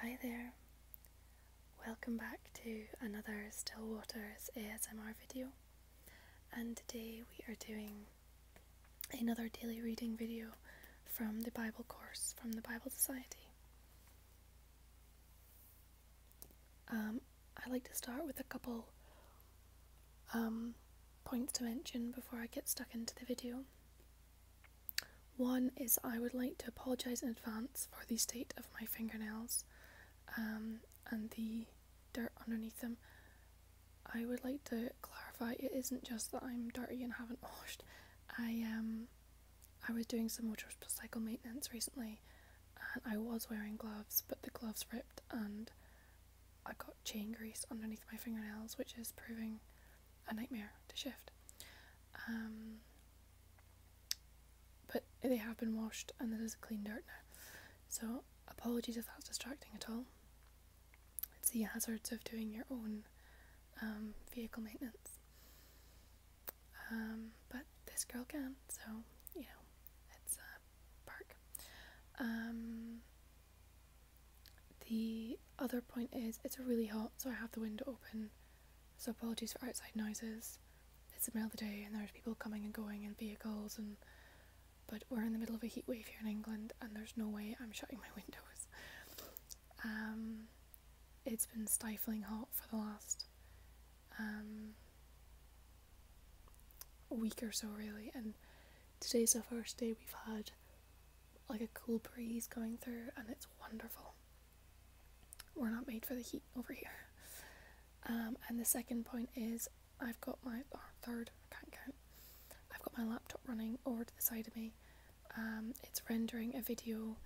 Hi there, welcome back to another Stillwaters ASMR video and today we are doing another daily reading video from the Bible course from the Bible Society. Um, I like to start with a couple um, points to mention before I get stuck into the video. One is I would like to apologise in advance for the state of my fingernails um, and the dirt underneath them. I would like to clarify it isn't just that I'm dirty and haven't washed. I um I was doing some motorcycle maintenance recently and I was wearing gloves but the gloves ripped and I got chain grease underneath my fingernails which is proving a nightmare to shift. Um, but they have been washed and there's is clean dirt now. So apologies if that's distracting at all. It's the hazards of doing your own um, vehicle maintenance. Um, but this girl can, so you know, it's a perk. the other point is it's really hot, so I have the window open so apologies for outside noises. It's the middle of the day and there's people coming and going in vehicles and but we're in the middle of a heatwave here in England and there's no way I'm shutting my windows. Um, it's been stifling hot for the last um, week or so really and today's the first day we've had like a cool breeze going through, and it's wonderful. We're not made for the heat over here. Um, and the second point is I've got my third, I can't count. I've got my laptop running over to the side of me. Um, it's rendering a video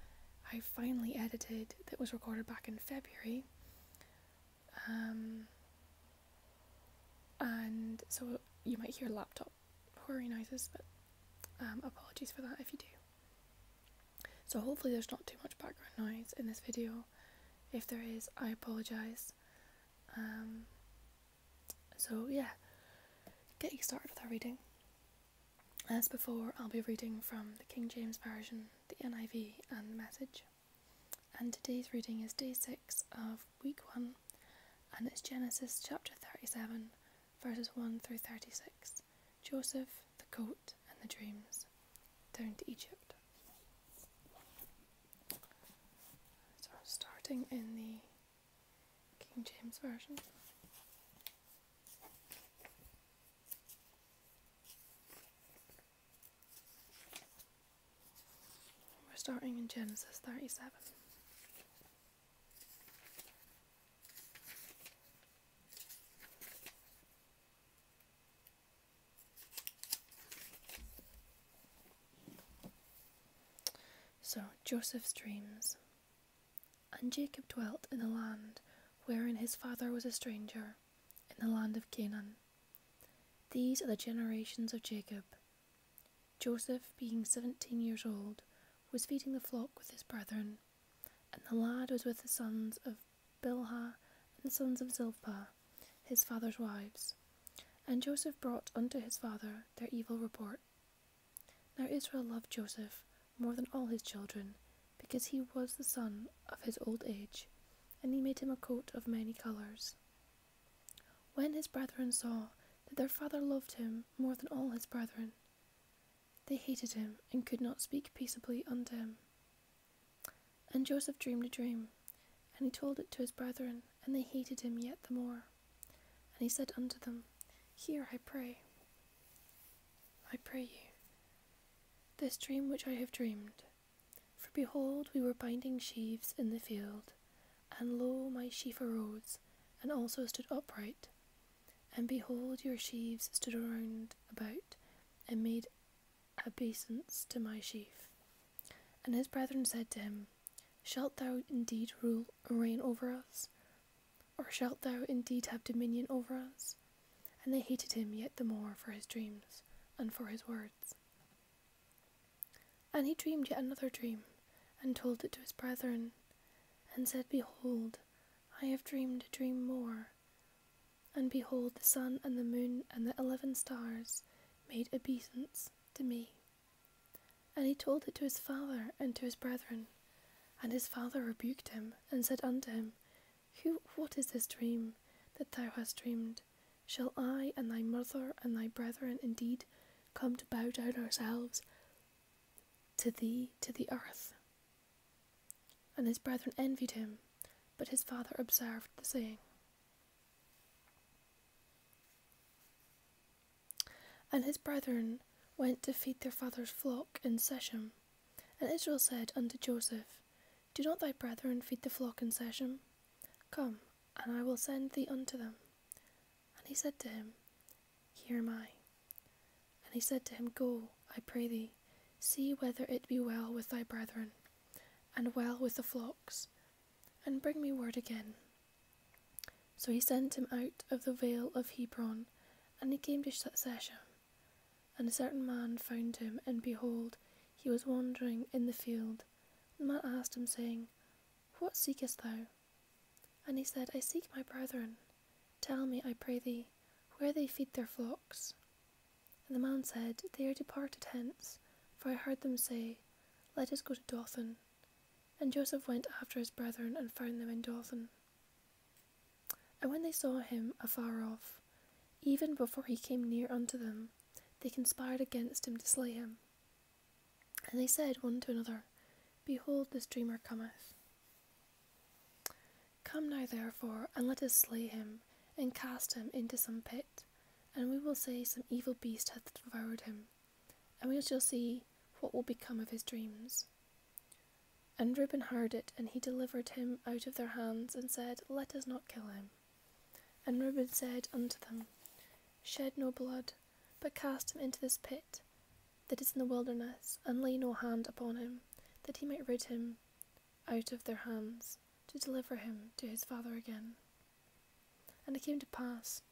I finally edited that was recorded back in February. Um, and so you might hear laptop horry noises, but um, apologies for that if you do. So hopefully there's not too much background noise in this video. If there is, I apologise. Um, so yeah, getting started with our reading. As before, I'll be reading from the King James Version, the NIV and the Message. And today's reading is day 6 of week 1 and it's Genesis chapter 37 verses 1 through 36, Joseph, the coat, and the dreams, down to Egypt. So, starting in the King James Version. We're starting in Genesis 37. So, Joseph's dreams. And Jacob dwelt in a land wherein his father was a stranger, in the land of Canaan. These are the generations of Jacob. Joseph, being seventeen years old, was feeding the flock with his brethren, and the lad was with the sons of Bilhah and the sons of Zilpah, his father's wives. And Joseph brought unto his father their evil report. Now Israel loved Joseph more than all his children, because he was the son of his old age, and he made him a coat of many colours. When his brethren saw that their father loved him more than all his brethren, they hated him and could not speak peaceably unto him. And Joseph dreamed a dream, and he told it to his brethren, and they hated him yet the more. And he said unto them, Hear, I pray. I pray you, this dream which I have dreamed. For behold, we were binding sheaves in the field, and lo, my sheaf arose, and also stood upright, and behold, your sheaves stood around about, and made obeisance to my sheaf. And his brethren said to him, Shalt thou indeed rule and reign over us? Or shalt thou indeed have dominion over us? And they hated him yet the more for his dreams and for his words. And he dreamed yet another dream, and told it to his brethren, and said, Behold, I have dreamed a dream more. And behold, the sun and the moon and the eleven stars made obeisance to me. And he told it to his father and to his brethren. And his father rebuked him, and said unto him, Who, what is this dream that thou hast dreamed? Shall I and thy mother and thy brethren indeed come to bow down ourselves to thee, to the earth. And his brethren envied him, but his father observed the saying. And his brethren went to feed their father's flock in Seshem. And Israel said unto Joseph, Do not thy brethren feed the flock in Seshem? Come, and I will send thee unto them. And he said to him, Here am I. And he said to him, Go, I pray thee, see whether it be well with thy brethren, and well with the flocks, and bring me word again. So he sent him out of the vale of Hebron, and he came to Shechem. And a certain man found him, and behold, he was wandering in the field. The man asked him, saying, What seekest thou? And he said, I seek my brethren. Tell me, I pray thee, where they feed their flocks. And the man said, They are departed hence, for I heard them say, Let us go to Dothan. And Joseph went after his brethren and found them in Dothan. And when they saw him afar off, even before he came near unto them, they conspired against him to slay him. And they said one to another, Behold, this dreamer cometh. Come now, therefore, and let us slay him, and cast him into some pit, and we will say some evil beast hath devoured him, and we shall see what will become of his dreams. And Reuben heard it, and he delivered him out of their hands, and said, Let us not kill him. And Reuben said unto them, Shed no blood, but cast him into this pit, that is in the wilderness, and lay no hand upon him, that he might rid him out of their hands, to deliver him to his father again. And it came to pass,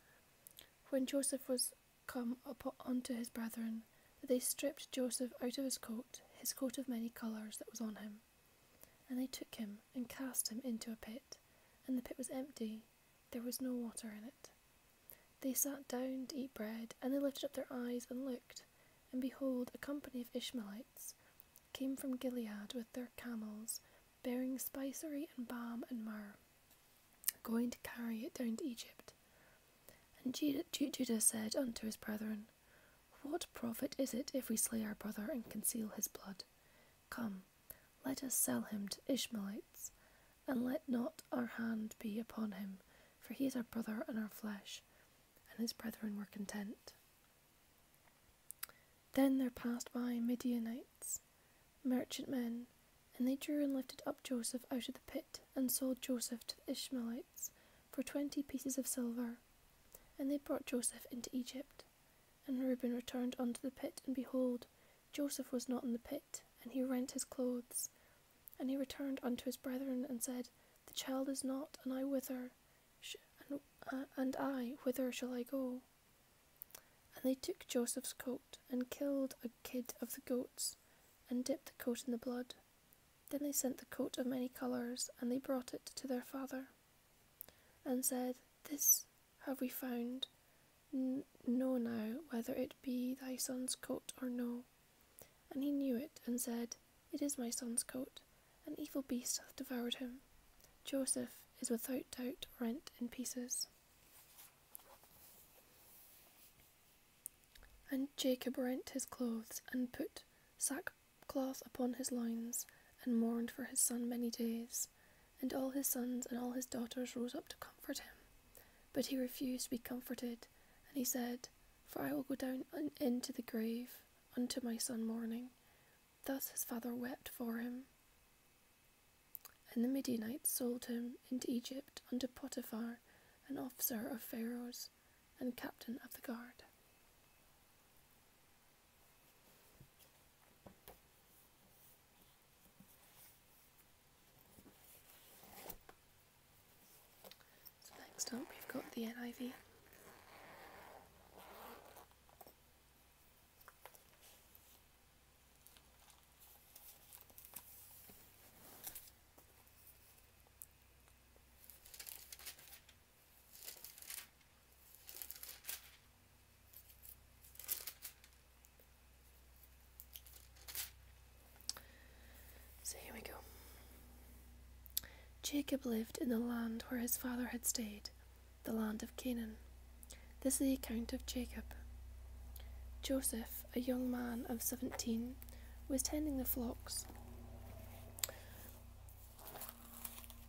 when Joseph was come up unto his brethren, that they stripped Joseph out of his coat, his coat of many colours that was on him. And they took him and cast him into a pit, and the pit was empty, there was no water in it. They sat down to eat bread, and they lifted up their eyes and looked, and behold, a company of Ishmaelites came from Gilead with their camels, bearing spicery and balm and myrrh, going to carry it down to Egypt. And Judah said unto his brethren, What profit is it if we slay our brother and conceal his blood? Come, let us sell him to Ishmaelites, and let not our hand be upon him, for he is our brother and our flesh. And his brethren were content. Then there passed by Midianites, merchantmen, and they drew and lifted up Joseph out of the pit, and sold Joseph to the Ishmaelites for twenty pieces of silver. And they brought Joseph into Egypt. And Reuben returned unto the pit, and behold, Joseph was not in the pit, and he rent his clothes, and he returned unto his brethren and said, The child is not, and I whither, uh, and, I whither shall I go? And they took Joseph's coat and killed a kid of the goats, and dipped the coat in the blood. Then they sent the coat of many colours, and they brought it to their father, and said, This have we found. N- know now whether it be thy son's coat or no. And he knew it, and said, It is my son's coat. An evil beast hath devoured him. Joseph is without doubt rent in pieces. And Jacob rent his clothes, and put sackcloth upon his loins, and mourned for his son many days. And all his sons and all his daughters rose up to comfort him. But he refused to be comforted, and he said, For I will go down into the grave unto my son mourning. Thus his father wept for him. And the Midianites sold him into Egypt unto Potiphar, an officer of Pharaoh's and captain of the guard. So next up we've got the NIV. So here we go. Jacob lived in the land where his father had stayed, the land of Canaan. This is the account of Jacob. Joseph, a young man of 17, was tending the flocks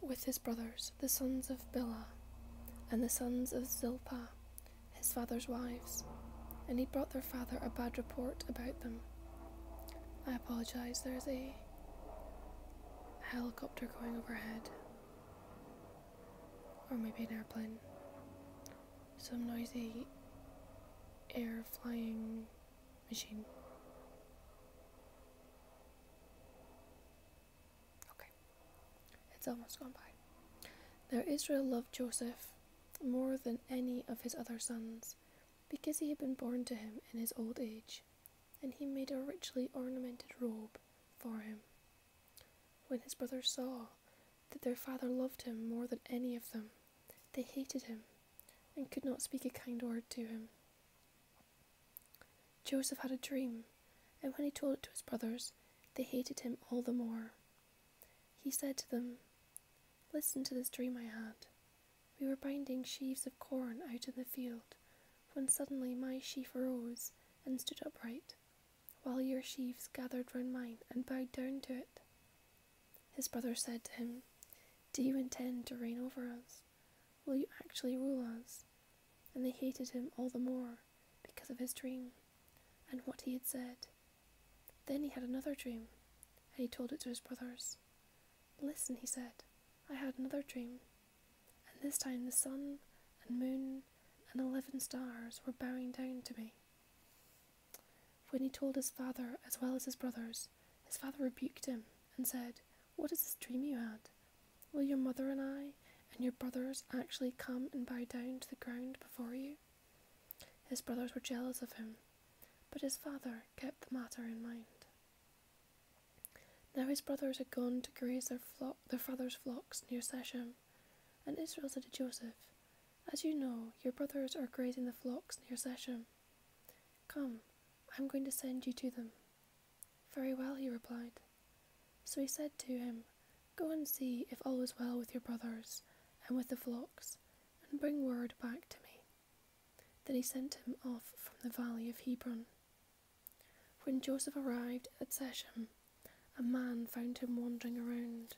with his brothers, the sons of Billah and the sons of Zilpah, his father's wives, and he brought their father a bad report about them. I apologise, there's a helicopter going overhead, or maybe an airplane. Some noisy air flying machine. Okay, it's almost gone by. Now Israel loved Joseph more than any of his other sons, because he had been born to him in his old age, and he made a richly ornamented robe for him. When his brothers saw that their father loved him more than any of them, they hated him and could not speak a kind word to him. Joseph had a dream, and when he told it to his brothers, they hated him all the more. He said to them, Listen to this dream I had. We were binding sheaves of corn out in the field, when suddenly my sheaf arose and stood upright, while your sheaves gathered round mine and bowed down to it. His brother said to him, Do you intend to reign over us? Will you actually rule us? And they hated him all the more because of his dream and what he had said. Then he had another dream, and he told it to his brothers. Listen, he said, I had another dream, and this time the sun and moon and eleven stars were bowing down to me. When he told his father as well as his brothers, his father rebuked him and said, What is this dream you had? Will your mother and I and your brothers actually come and bow down to the ground before you? His brothers were jealous of him, but his father kept the matter in mind. Now his brothers had gone to graze their, flock, their father's flocks near Sèchem, and Israel said to Joseph, As you know, your brothers are grazing the flocks near Sèchem. Come, I am going to send you to them. Very well, he replied. So he said to him, Go and see if all is well with your brothers and with the flocks, and bring word back to me. Then he sent him off from the valley of Hebron. When Joseph arrived at Shechem, a man found him wandering around.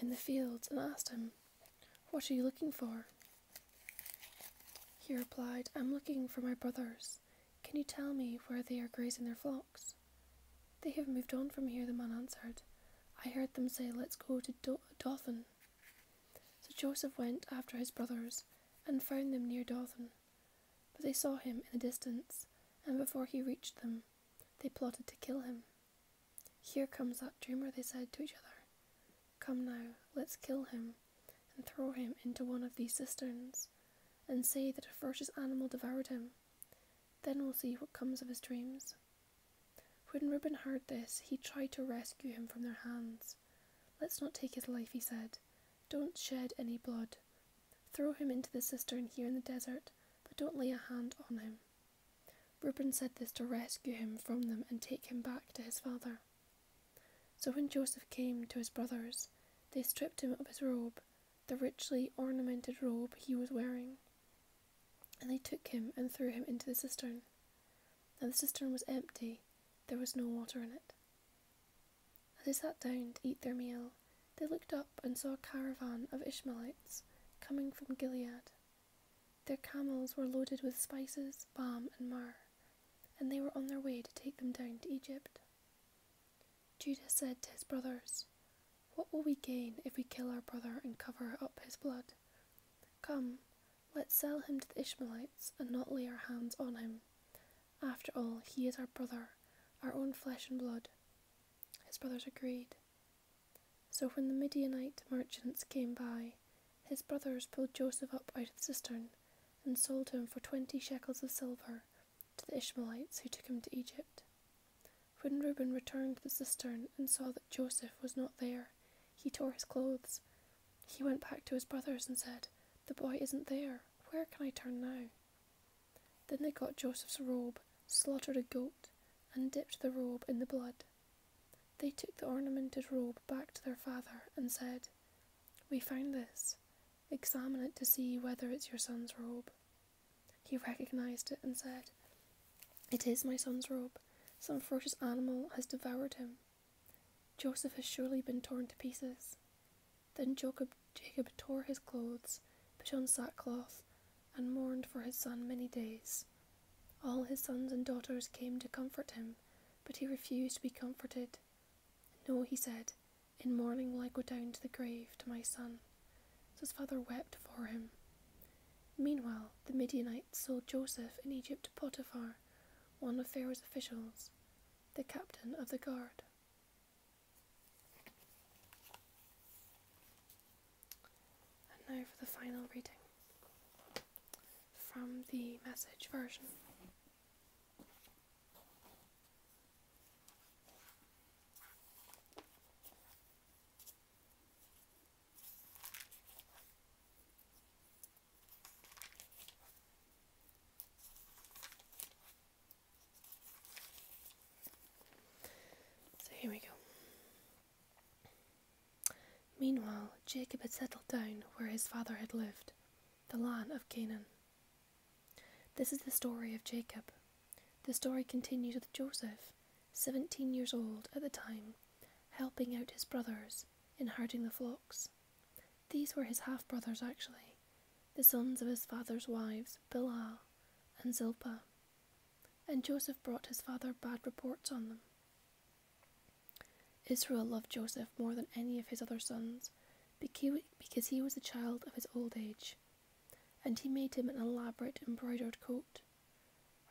In the fields and asked him, What are you looking for? He replied, I'm looking for my brothers. Can you tell me where they are grazing their flocks? They have moved on from here, the man answered. I heard them say, Let's go to Dothan. So Joseph went after his brothers and found them near Dothan. But they saw him in the distance, and before he reached them, they plotted to kill him. Here comes that dreamer, they said to each other. Come now, let's kill him and throw him into one of these cisterns and say that a ferocious animal devoured him. Then we'll see what comes of his dreams. When Reuben heard this, he tried to rescue him from their hands. Let's not take his life, he said. Don't shed any blood. Throw him into the cistern here in the desert, but don't lay a hand on him. Reuben said this to rescue him from them and take him back to his father. So when Joseph came to his brothers, they stripped him of his robe the richly ornamented robe he was wearing. And they took him and threw him into the cistern. Now the cistern was empty, there was no water in it. As they sat down to eat their meal, they looked up and saw a caravan of Ishmaelites coming from Gilead. Their camels were loaded with spices, balm, and myrrh, and they were on their way to take them down to Egypt. Judah said to his brothers, What will we gain if we kill our brother and cover up his blood? Come, let's sell him to the Ishmaelites and not lay our hands on him. After all, he is our brother, our own flesh and blood. His brothers agreed. So when the Midianite merchants came by, his brothers pulled Joseph up out of the cistern and sold him for twenty shekels of silver to the Ishmaelites who took him to Egypt. When Reuben returned to the cistern and saw that Joseph was not there, he tore his clothes. He went back to his brothers and said, The boy isn't there. Where can I turn now? Then they got Joseph's robe, slaughtered a goat, and dipped the robe in the blood. They took the ornamented robe back to their father and said, We found this. Examine it to see whether it's your son's robe. He recognized it and said, It is my son's robe. Some ferocious animal has devoured him. Joseph has surely been torn to pieces. Then Jacob, tore his clothes, put on sackcloth, and mourned for his son many days. All his sons and daughters came to comfort him, but he refused to be comforted, no, he said, in mourning will I go down to the grave to my son. So his father wept for him. Meanwhile, the Midianites sold Joseph in Egypt to Potiphar, one of Pharaoh's officials, the captain of the guard. And now for the final reading from the message version. So here we go. Meanwhile, Jacob had settled down where his father had lived, the land of Canaan, this is the story of Jacob. The story continues with Joseph, 17 years old at the time, helping out his brothers in herding the flocks. These were his half brothers, actually, the sons of his father's wives, Bilhah and Zilpah. And Joseph brought his father bad reports on them. Israel loved Joseph more than any of his other sons because he was the child of his old age and he made him an elaborate embroidered coat.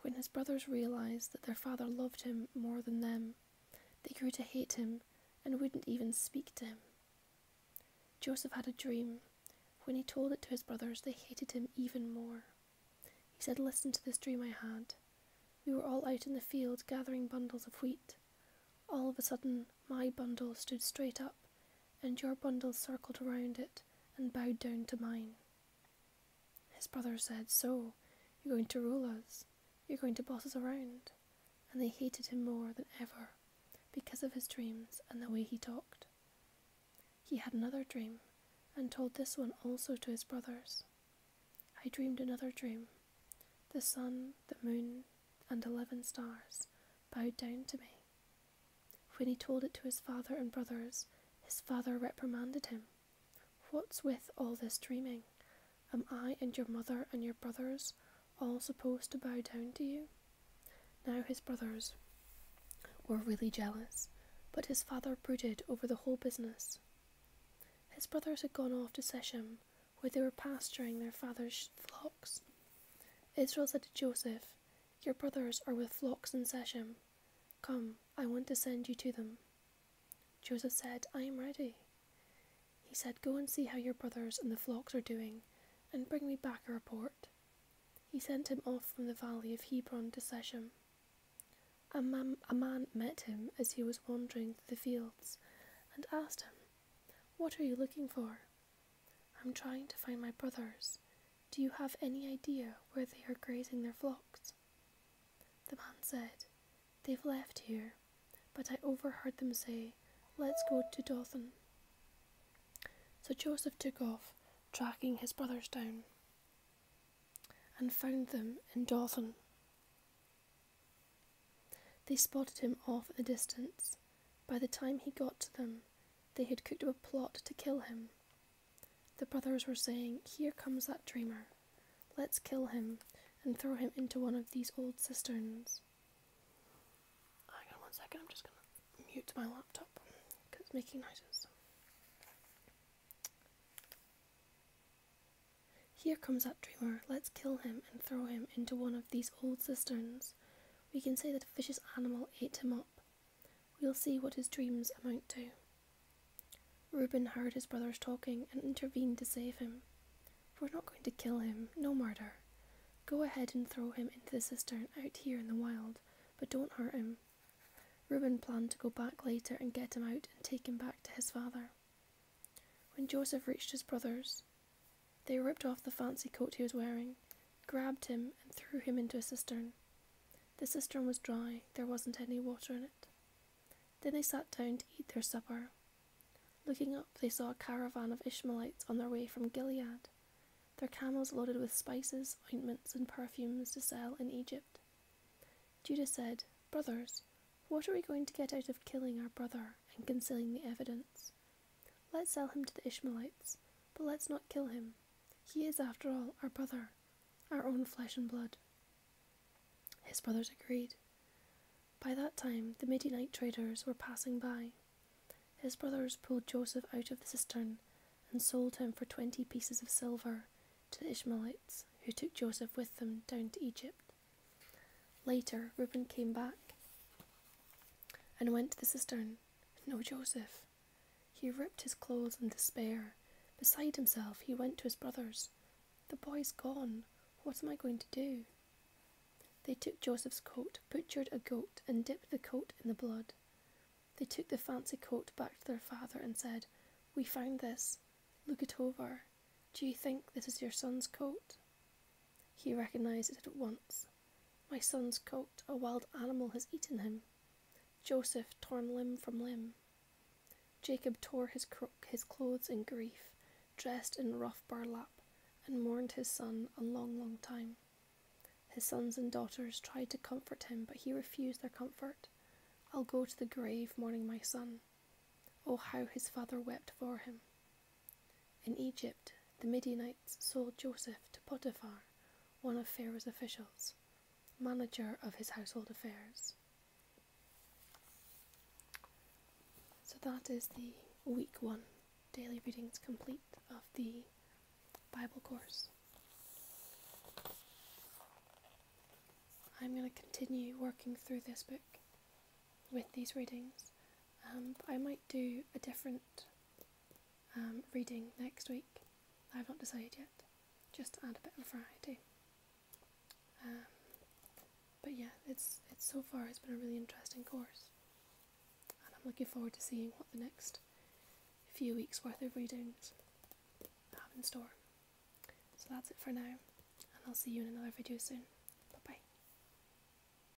When his brothers realized that their father loved him more than them, they grew to hate him and wouldn't even speak to him. Joseph had a dream. When he told it to his brothers, they hated him even more. He said, Listen to this dream I had. We were all out in the field gathering bundles of wheat. All of a sudden, my bundle stood straight up, and your bundle circled around it and bowed down to mine. His brother said, So, you're going to rule us, you're going to boss us around. And they hated him more than ever because of his dreams and the way he talked. He had another dream and told this one also to his brothers. I dreamed another dream. The sun, the moon, and eleven stars bowed down to me. When he told it to his father and brothers, his father reprimanded him. What's with all this dreaming? Am I and your mother and your brothers all supposed to bow down to you? Now his brothers were really jealous, but his father brooded over the whole business. His brothers had gone off to Sesham where they were pasturing their father's flocks. Israel said to Joseph, Your brothers are with flocks in Shechem. Come, I want to send you to them. Joseph said, I am ready. He said, Go and see how your brothers and the flocks are doing, and bring me back a report. He sent him off from the valley of Hebron to Shechem. a man met him as he was wandering through the fields, and asked him, What are you looking for? I'm trying to find my brothers. Do you have any idea where they are grazing their flocks? The man said, They've left here, but I overheard them say, us go to Dothan. So Joseph took off, tracking his brothers down, and found them in Dothan. They spotted him off at a distance by the time he got to them, they had cooked up a plot to kill him. The brothers were saying, Here comes that dreamer. Let's kill him and throw him into one of these old cisterns. Hang on one second, I'm just going to mute my laptop because it's making noises. Here comes that dreamer. Let's kill him and throw him into one of these old cisterns. We can say that a vicious animal ate him up. We'll see what his dreams amount to. Reuben heard his brothers talking and intervened to save him. We're not going to kill him, no murder. Go ahead and throw him into the cistern out here in the wild, but don't hurt him. Reuben planned to go back later and get him out and take him back to his father. When Joseph reached his brothers, they ripped off the fancy coat he was wearing, grabbed him, and threw him into a cistern. The cistern was dry, there wasn't any water in it. Then they sat down to eat their supper. Looking up, they saw a caravan of Ishmaelites on their way from Gilead, their camels loaded with spices, ointments, and perfumes to sell in Egypt. Judah said, Brothers, what are we going to get out of killing our brother? and concealing the evidence. Let's sell him to the Ishmaelites, but let's not kill him. He is, after all, our brother, our own flesh and blood. His brothers agreed. By that time, the Midianite traders were passing by. His brothers pulled Joseph out of the cistern and sold him for twenty pieces of silver to the Ishmaelites, who took Joseph with them down to Egypt. Later, Reuben came back and went to the cistern. No Joseph. He ripped his clothes in despair. Beside himself, he went to his brothers. The boy's gone. What am I going to do? They took Joseph's coat, butchered a goat, and dipped the coat in the blood. They took the fancy coat back to their father and said, We found this. Look it over. Do you think this is your son's coat? He recognized it at once. My son's coat, a wild animal has eaten him. Joseph torn limb from limb. Jacob tore his, crook, his clothes in grief, dressed in rough burlap, and mourned his son a long, long time. His sons and daughters tried to comfort him, but he refused their comfort. I'll go to the grave mourning my son. Oh, how his father wept for him. In Egypt, the Midianites sold Joseph to Potiphar, one of Pharaoh's officials, manager of his household affairs. So that is the week one daily readings complete of the Bible course. I'm going to continue working through this book with these readings. Um, I might do a different um, reading next week. I've not decided yet, just to add a bit of variety. Um, but yeah, it's it's so far it's been a really interesting course, and I'm looking forward to seeing what the next few weeks worth of readings have in store. So that's it for now, and I'll see you in another video soon. Bye bye.